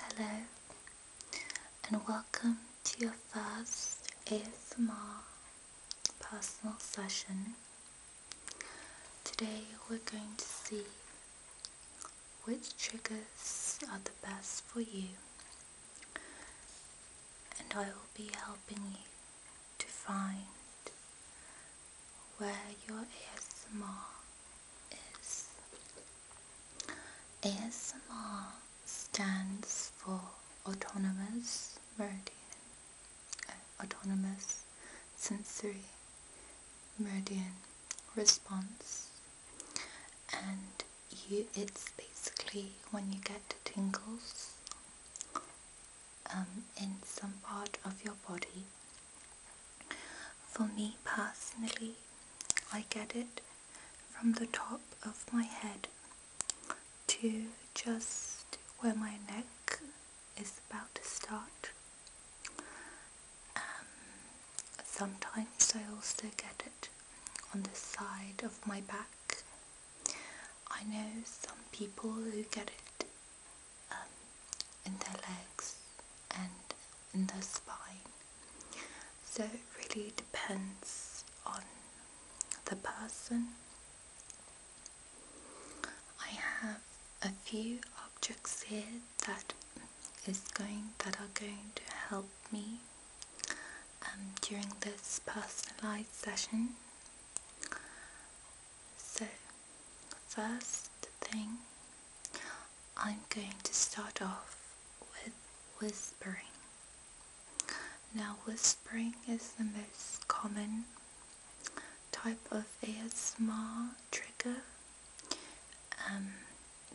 Hello and welcome to your first ASMR personal session. Today we're going to see which triggers are the best for you and I will be helping you to find where your ASMR is. ASMR stands for Autonomous Meridian, uh, Autonomous Sensory Meridian Response and you, it's basically when you get tingles um, in some part of your body. For me personally, I get it from the top of my head to just where my neck is about to start. Um, sometimes I also get it on the side of my back. I know some people who get it um, in their legs and in their spine. So it really depends on the person. I have a few objects here that is going that are going to help me um, during this personalized session. So, first thing, I'm going to start off with whispering. Now, whispering is the most common type of ASMR trigger um,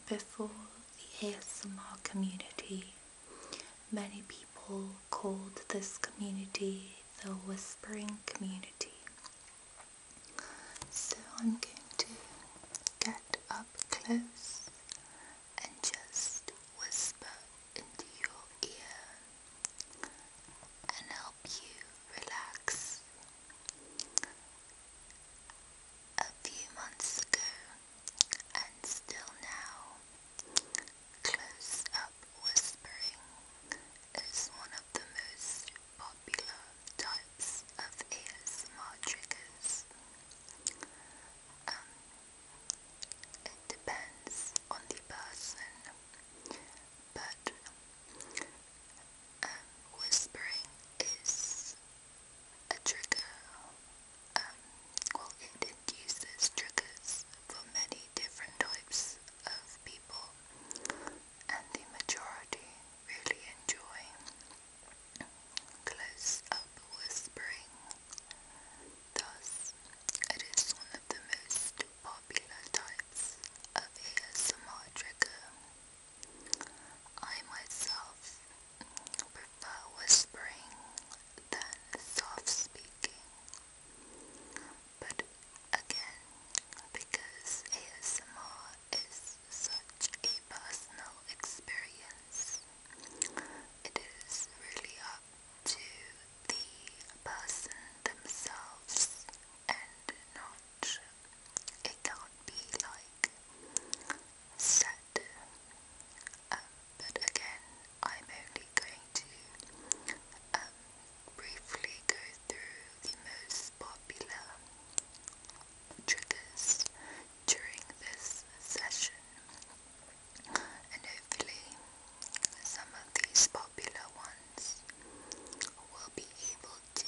before the ASMR community. Many people called this community the whispering community. So I'm going to get up close and just whisper into your ear and help you relax. A few months ago and still now, close up whispering is one of the most popular types of ASMR triggers. Um, depends on the person, but um, whispering is a trigger. Um, well, it induces triggers for many different types of people and the majority really enjoy close up whispering. Thus, it is one of the most popular types of ASMR trigger. I myself prefer whispering than soft speaking, but again, because ASMR is such a personal experience, it is really up to the person themselves and not, it can't be like set. Um, but again, I'm only going to um, briefly go through the most popular triggers during this session and hopefully some of these popular ones will be able to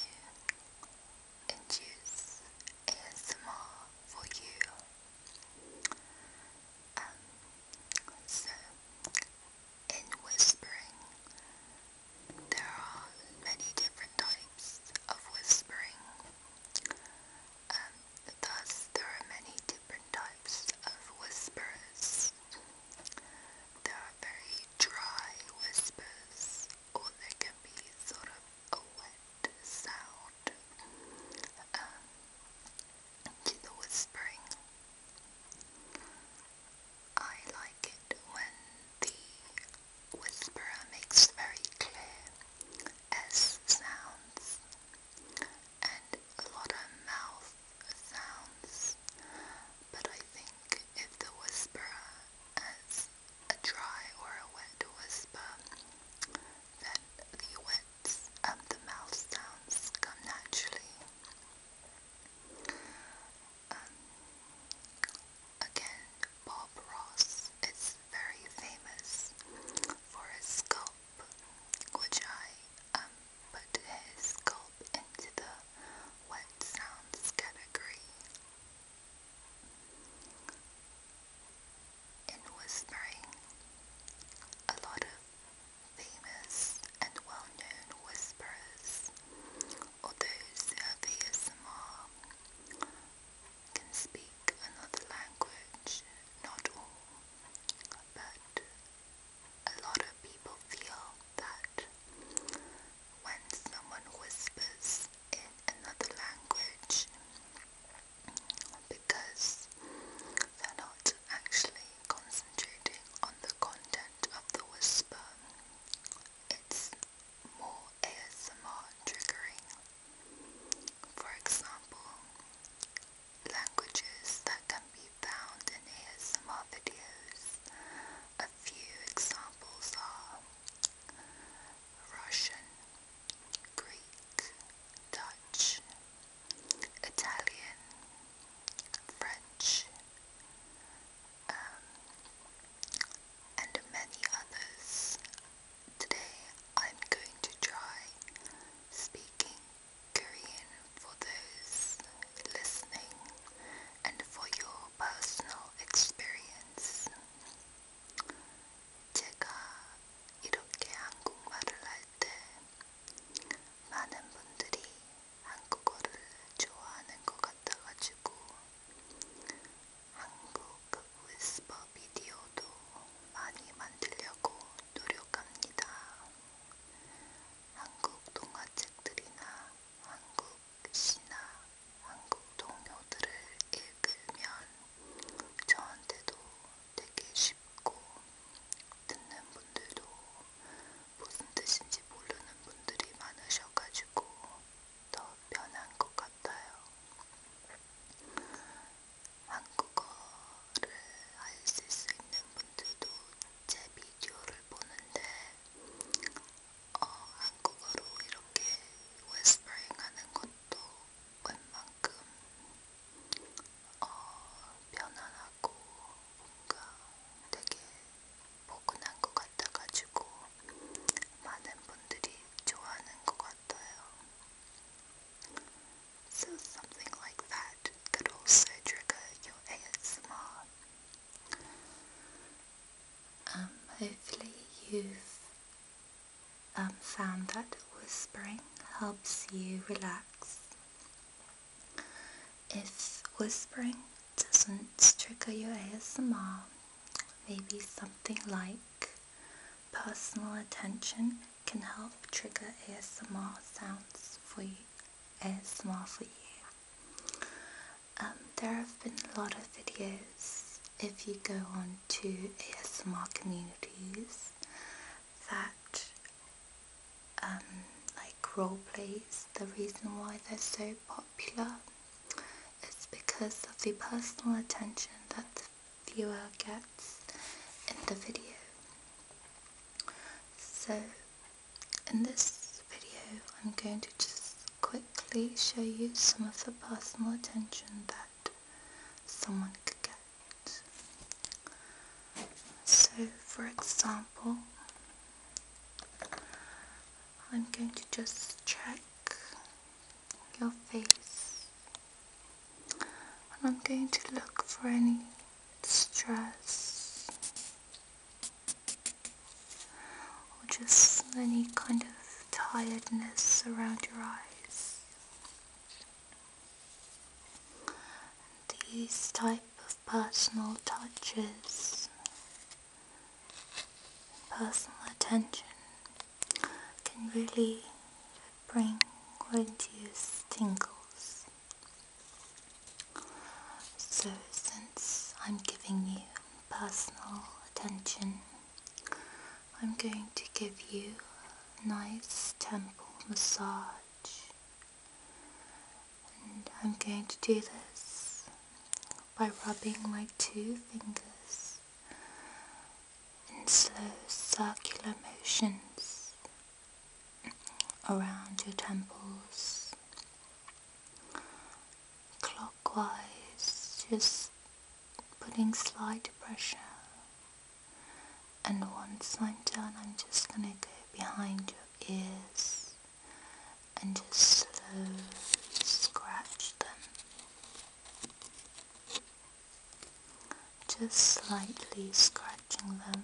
induce ASMR for you. Um, so in whispering. There are many different types of whispering. Um, thus, there are many different types of whispers. There are very dry whispers, or there can be sort of a wet sound um, to the whispering. I like it when the whisperer makes very clear S sounds and a lot of mouth sounds, but I think if the whisperer has a dry or a wet whisper, then the wets and the mouth sounds come naturally. Um, again, Bob Ross is very famous for his sculpt, which I um, put his sculpt into the wet sounds category. In whispering, a lot of famous and well-known whisperers or those who have ASMR can speak another language. Not all, but a lot of people feel that when someone whispers in another language, because they're not actually concentrating on the content of the whisper, it's more ASMR triggering. For example, languages that can be found in ASMR videos. A few examples are Russian, Greek, Dutch, Italian, French, um, and many others. Today I'm going to try speaking Korean for those listening and for your personal experience. 제가 이렇게 한국말을 할 때 많은 분들이 한국어를 좋아하는 것 같아가지고 한국 위스퍼 비디오도 많이 만들려고 노력합니다. 한국 동화책들이나 한국 시나 한국 동요들을 읽으면 저한테도 되게 쉽고 듣는 분들도 무슨 뜻인지 모르는 분들이 많으셔가지고 더 편한 것 같아요. 한국어를 할 수 있는 분들도 제 비디오를 보는데 어, 한국어로 이렇게 웨스퍼링 하는 것도 웬만큼 어, 편안하고 뭔가 되게 something like that could also trigger your ASMR. Um, hopefully you've um, found that whispering helps you relax if whispering doesn't trigger your ASMR, maybe something like personal attention can help trigger ASMR sounds for you. ASMR for you. Um, there have been a lot of videos if you go on to ASMR communities that um, like role plays. The reason why they're so popular It's because of the personal attention that the viewer gets in the video. So in this video I'm going to just quickly show you some of the personal attention that someone could get. So for example, I'm going to just check your face and I'm going to look for any stress or just any kind of tiredness around your eyes. these type of personal touches personal attention can really bring or induce tingles. So since I'm giving you personal attention, I'm going to give you a nice temple massage and I'm going to do this by rubbing my two fingers in slow circular motions around your temples clockwise just putting slight pressure and once I'm done I'm just going to go behind your ears and just slowly scratch them. Just slightly scratching them.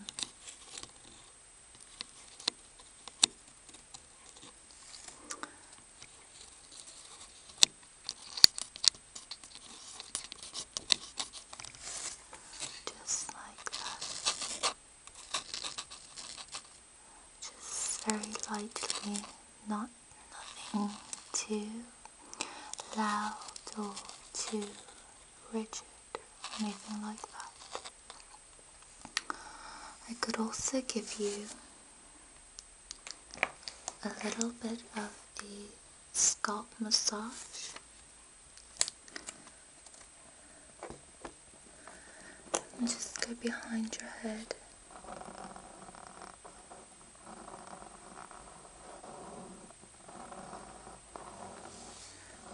Just like that just very lightly, not nothing too loud or too rigid, or anything like that. I could also give you a little bit of the scalp massage just go behind your head.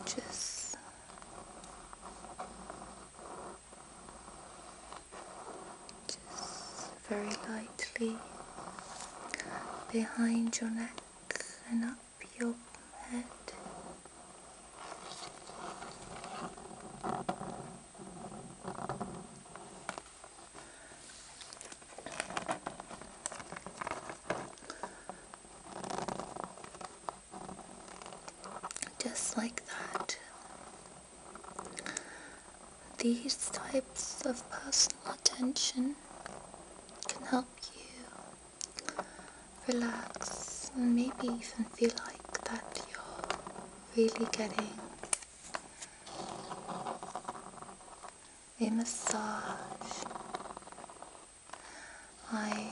Just just very lightly behind your neck and up your just like that. These types of personal attention can help you relax and maybe even feel like that you're really getting a massage. I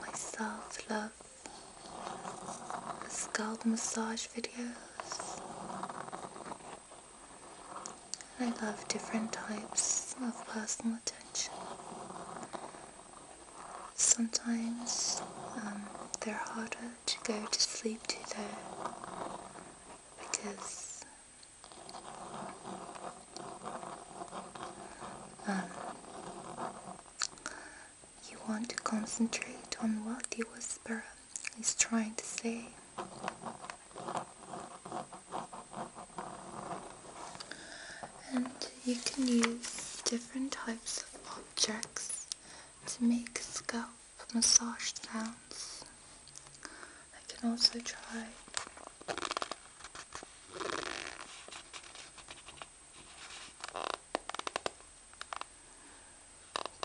myself love scalp massage videos. I love different types of personal attention Sometimes um, they're harder to go to sleep to though because um, you want to concentrate on what the whisperer is trying to say. And you can use different types of objects to make scalp massage sounds. I can also try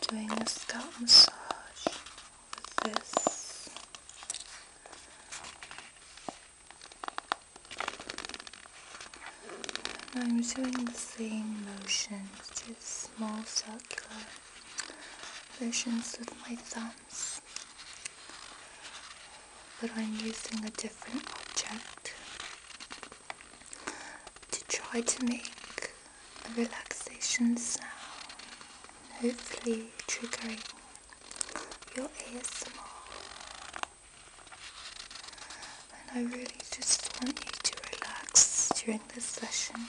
doing a scalp massage with this I'm doing the same motions, just small circular motions with my thumbs. But I'm using a different object to try to make a relaxation sound, hopefully triggering your ASMR. And I really just want you to relax during this session.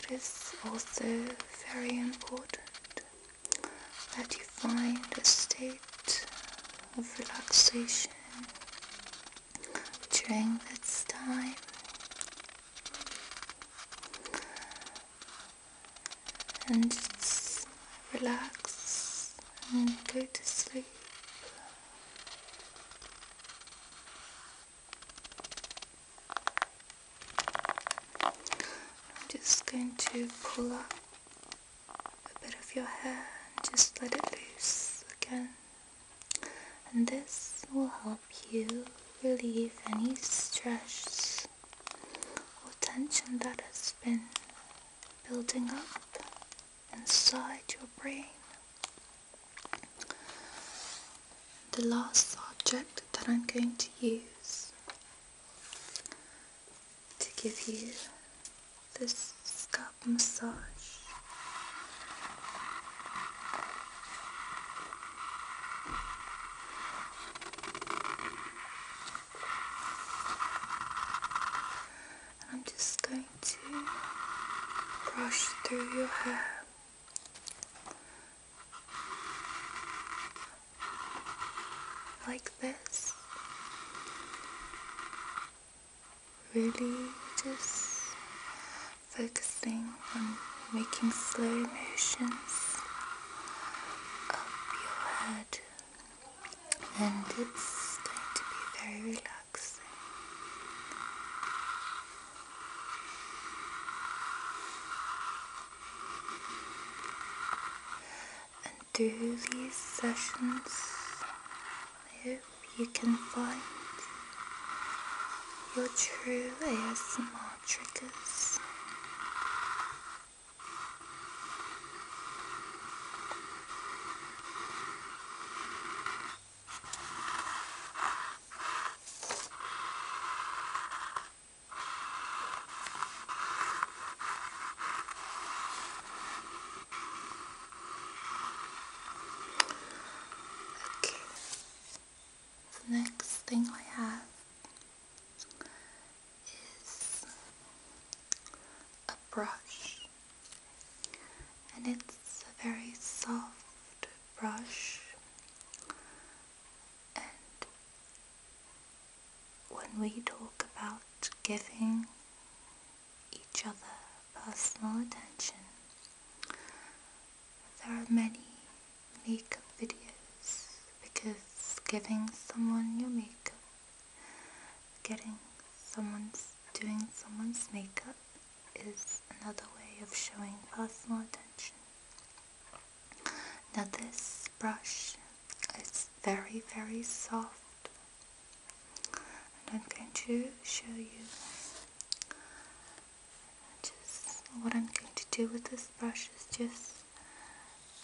It is also very important that you find a state of relaxation during this time and just relax and go to sleep. I'm just going to pull up a bit of your hair and just let it loose again and this will help help you relieve any stress or tension that has been building up inside your brain. The last object that I'm going to use to give you this scalp massage I'm just going to brush through your hair. Like this, really just focus focusing on making slow motions up your head and it's going to be very relaxing. And through these sessions, I hope you can find your true ASMR triggers. Okay, the next thing I have is a brush and it's a very soft brush and when we talk about giving each other personal attention there are many makeup videos because giving someone your makeup, getting someone's, doing someone's makeup is another way of showing personal attention. Now this brush is very very soft and I'm going to show you just what I'm going to do with this brush is just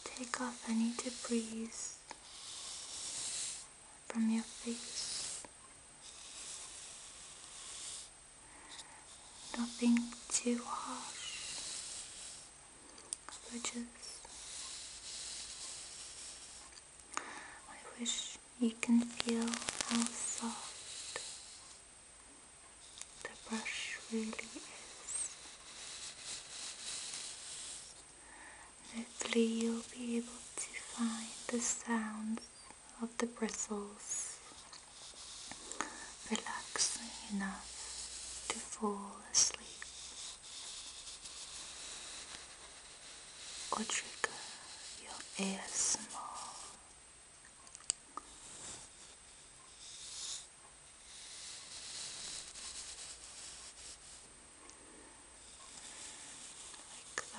take off any debris from your face. Nothing too harsh, just I wish you can feel how soft the brush really is. Hopefully you'll be able to find the sounds of the bristles relaxing enough to fall asleep or trigger your more.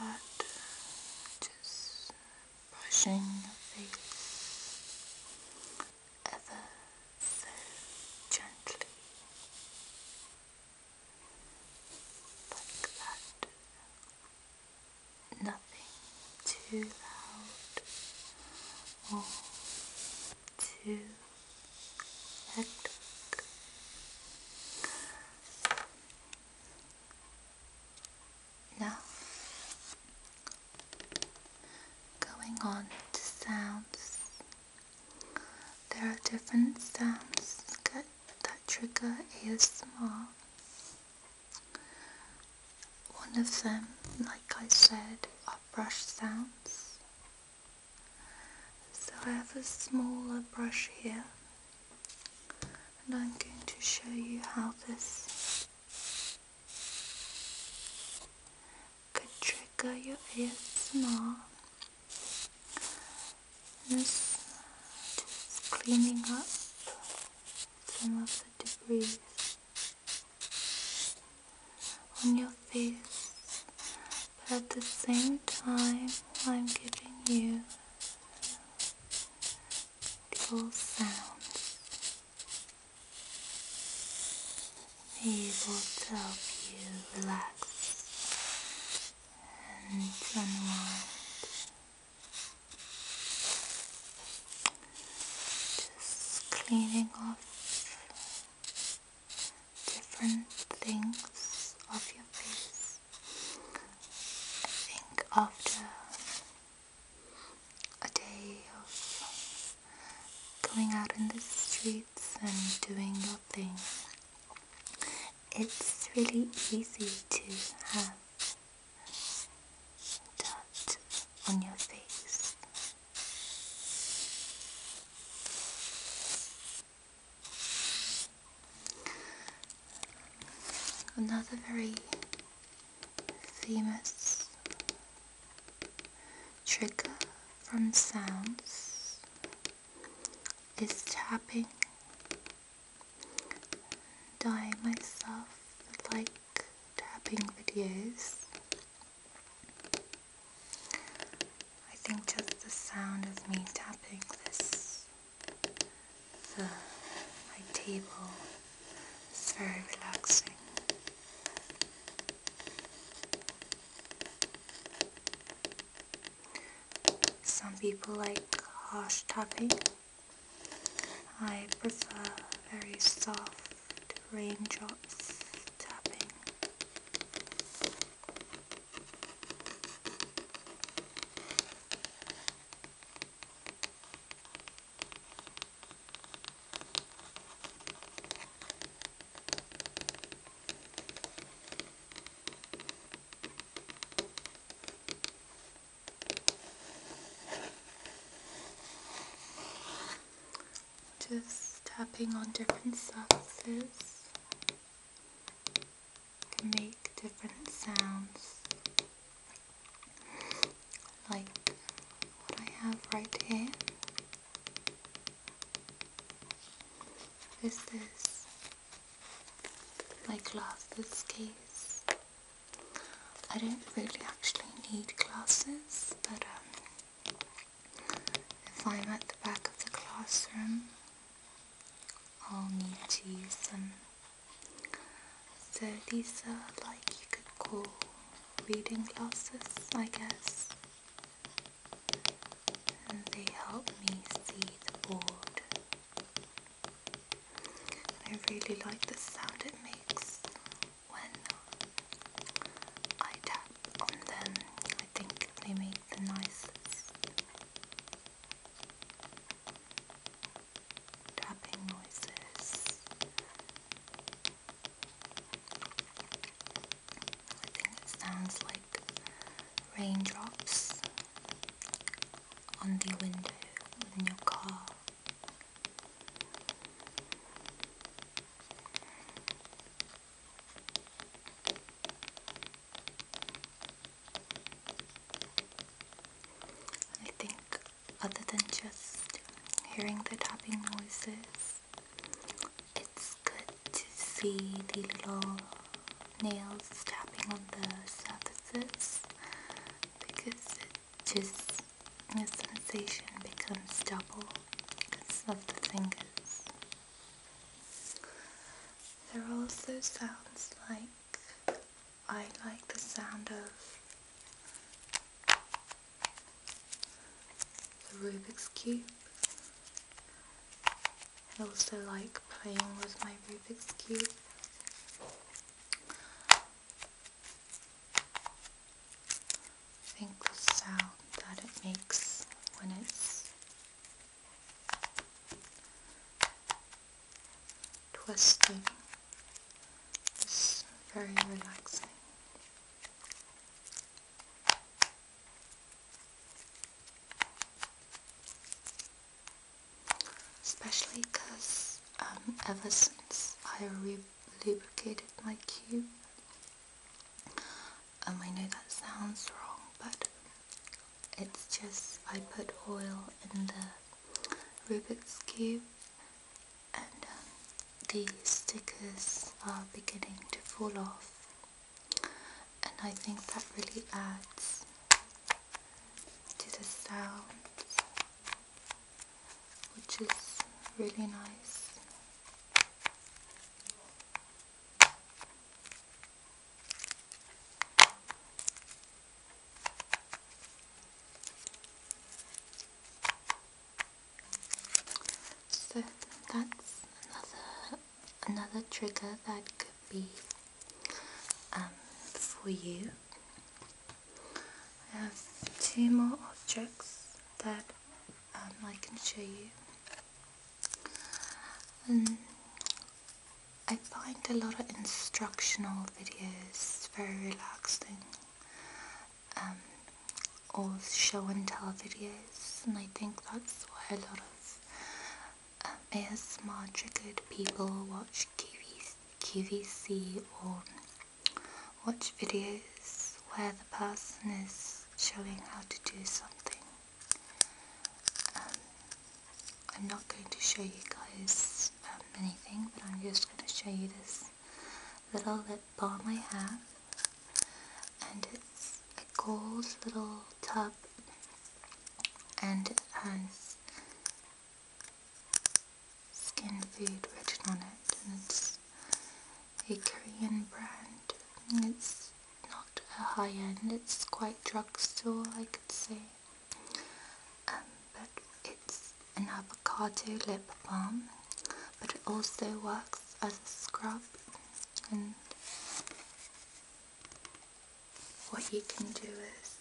Like that, just brushing the ever so gently. Like that nothing too loud or too hectic. Now, going on to sounds. There are different sounds that trigger is small. One of them, like I said, are brush sounds. So I have a smaller brush here and I'm going to show you how this could trigger your ASMR. This just cleaning up some of the debris on your face, but at the same time, I'm giving you little sounds. These will help you relax and unwind. Just cleaning off different things off your face. I think after a day of going out in the streets and doing your thing, it's really easy to have that on your face. Another very famous trigger from sounds is tapping. Dyeing myself like tapping videos. I think just the sound of me tapping this, the, my table, is very relaxing. Some people like harsh tapping. I prefer very soft raindrops tapping. Just tapping on different surfaces can make different sounds like what I have right here. This is my glasses case I don't really actually need glasses, but um, if I'm at the back of the classroom, I'll need to use them. So these are like you could call reading glasses, I guess. And they help me see the board. I really like the sound it makes when I tap on them, I think they make the nicest tapping noises. I think it sounds like raindrops on the window in your car. I think other than just hearing the tapping noises, it's good to see the little nails tapping on the surfaces because it just the sensation becomes double because of the fingers. There are also sounds like I like the sound of the Rubik's Cube. I also like playing with my Rubik's Cube. I think the sound that it makes when it's twisting is very relaxing. Especially because um, ever since I re lubricated my cube. Um, I know that sounds wrong, but it's just I put oil in the Rubik's Cube and um, the stickers are beginning to fall off and I think that really adds to the sound which is really nice. So that's another another trigger that could be um, for you I have two more objects that um, I can show you. Um, I find a lot of instructional videos very relaxing. Um, or show and tell videos and I think that's why a lot of um, ASMR people watch QVC, QVC or watch videos where the person is showing how to do something. Um, I'm not going to show you guys um, anything, but I'm just going to show you this little lip balm I have. And it's a gold little tub, and it has skin food written on it and it's a Korean brand it's not a high end, it's quite drugstore I could say um, but it's an avocado lip balm but it also works as a scrub and what you can do is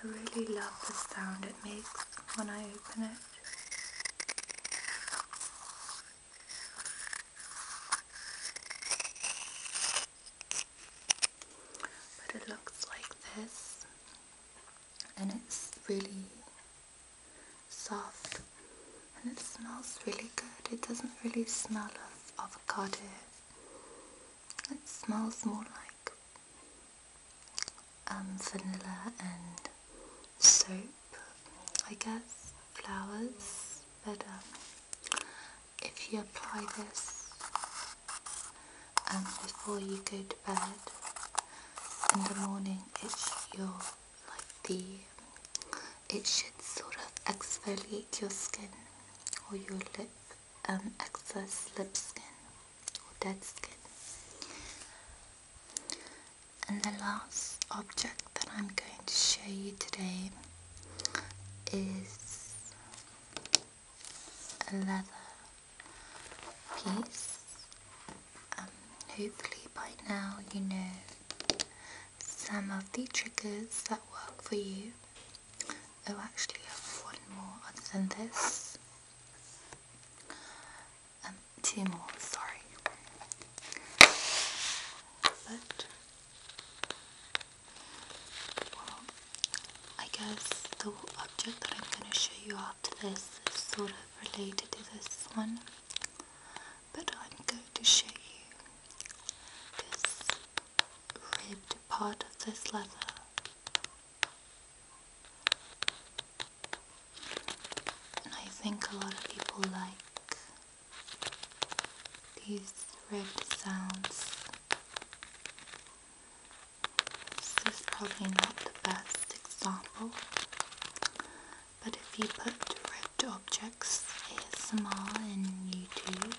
I really love the sound it makes when I open it. But it looks like this and it's really soft and it smells really good. It doesn't really smell avocado. It smells more like um, vanilla and soap, I guess, flowers. But um, if you apply this um, before you go to bed in the morning, it's your like the it should sort of exfoliate your skin or your lip um, excess lip skin or dead skin. And the last object that I'm going to show you today is a leather piece. Um, hopefully by now you know some of the triggers that work for you. Oh, actually, I have one more other than this. Um, two more, sorry. But, well, I guess the object that I'm going to show you after this is sort of related to this one but I'm going to show you this ribbed part of this leather. And I think a lot of people like these ribbed sounds. This is probably not the best example, but if you put Dropped Objects ASMR in YouTube.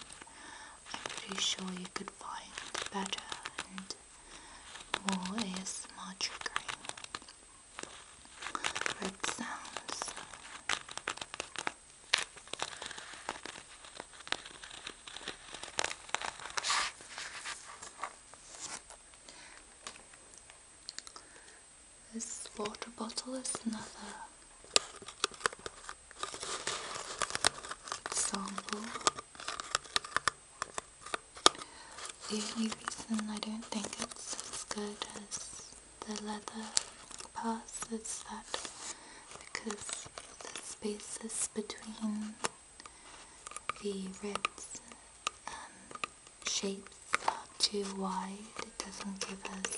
I'm pretty sure you could find better and more ASMR triggering red sounds. This water bottle is another example. The only reason I don't think it's as good as the leather pass is that because the spaces between the ribs and shapes are too wide, it doesn't give us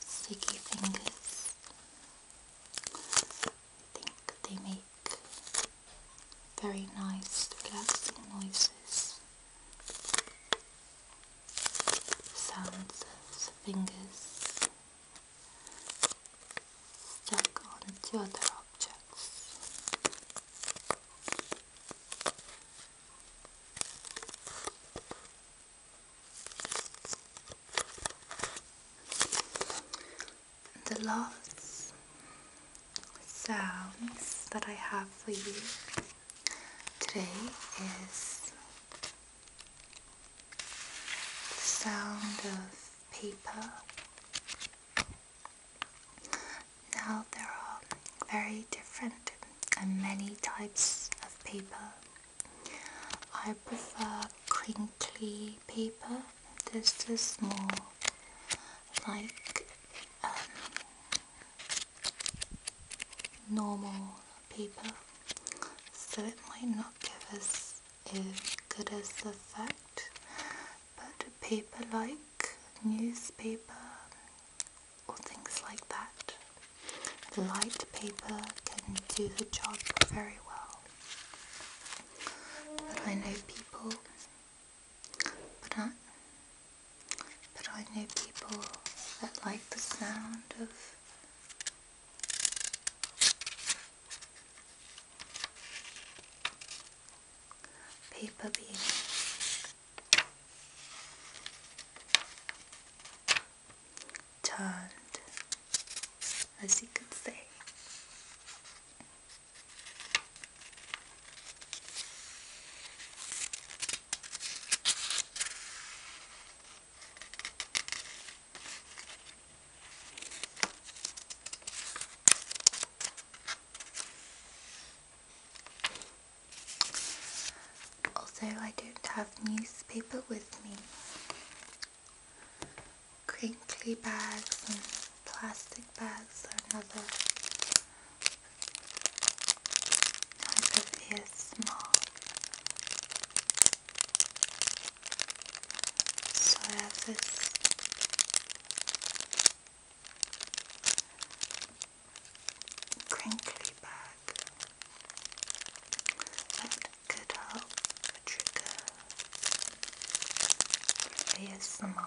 sticky fingers. think they make very nice relaxing noises. Sounds of fingers stuck onto other objects the last sounds that I have for you today is the sound of paper. Now there are very different and many types of paper I prefer crinkly paper. This is more like um, normal paper, so it might not give us as good as the effect. But paper like newspaper or things like that light paper can do the job very well. But I know people, but I, but I know people that like the sound of paper being turned, as you could say. Also, I don't have newspaper with me. Crinkly bags and plastic bags are another type of ASMR. So I have crinkly bag and good old trigger ASMR.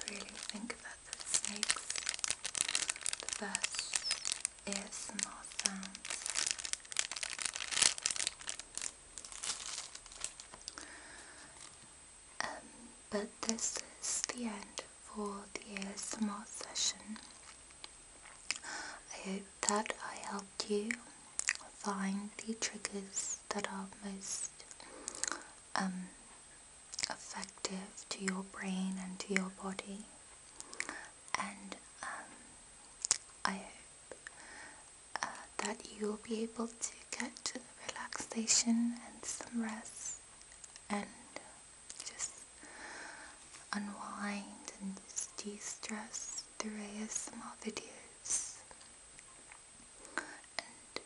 I really think that the snakes, the best ASMR sounds. Um, but this is the end for the ASMR session. I hope that I helped you find the triggers that are most um, effective to your brain and to your body and um, I hope uh, that you'll be able to get relaxation and some rest and just unwind and de-stress through ASMR videos and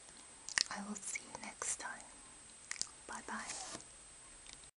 I will see you next time. Bye bye.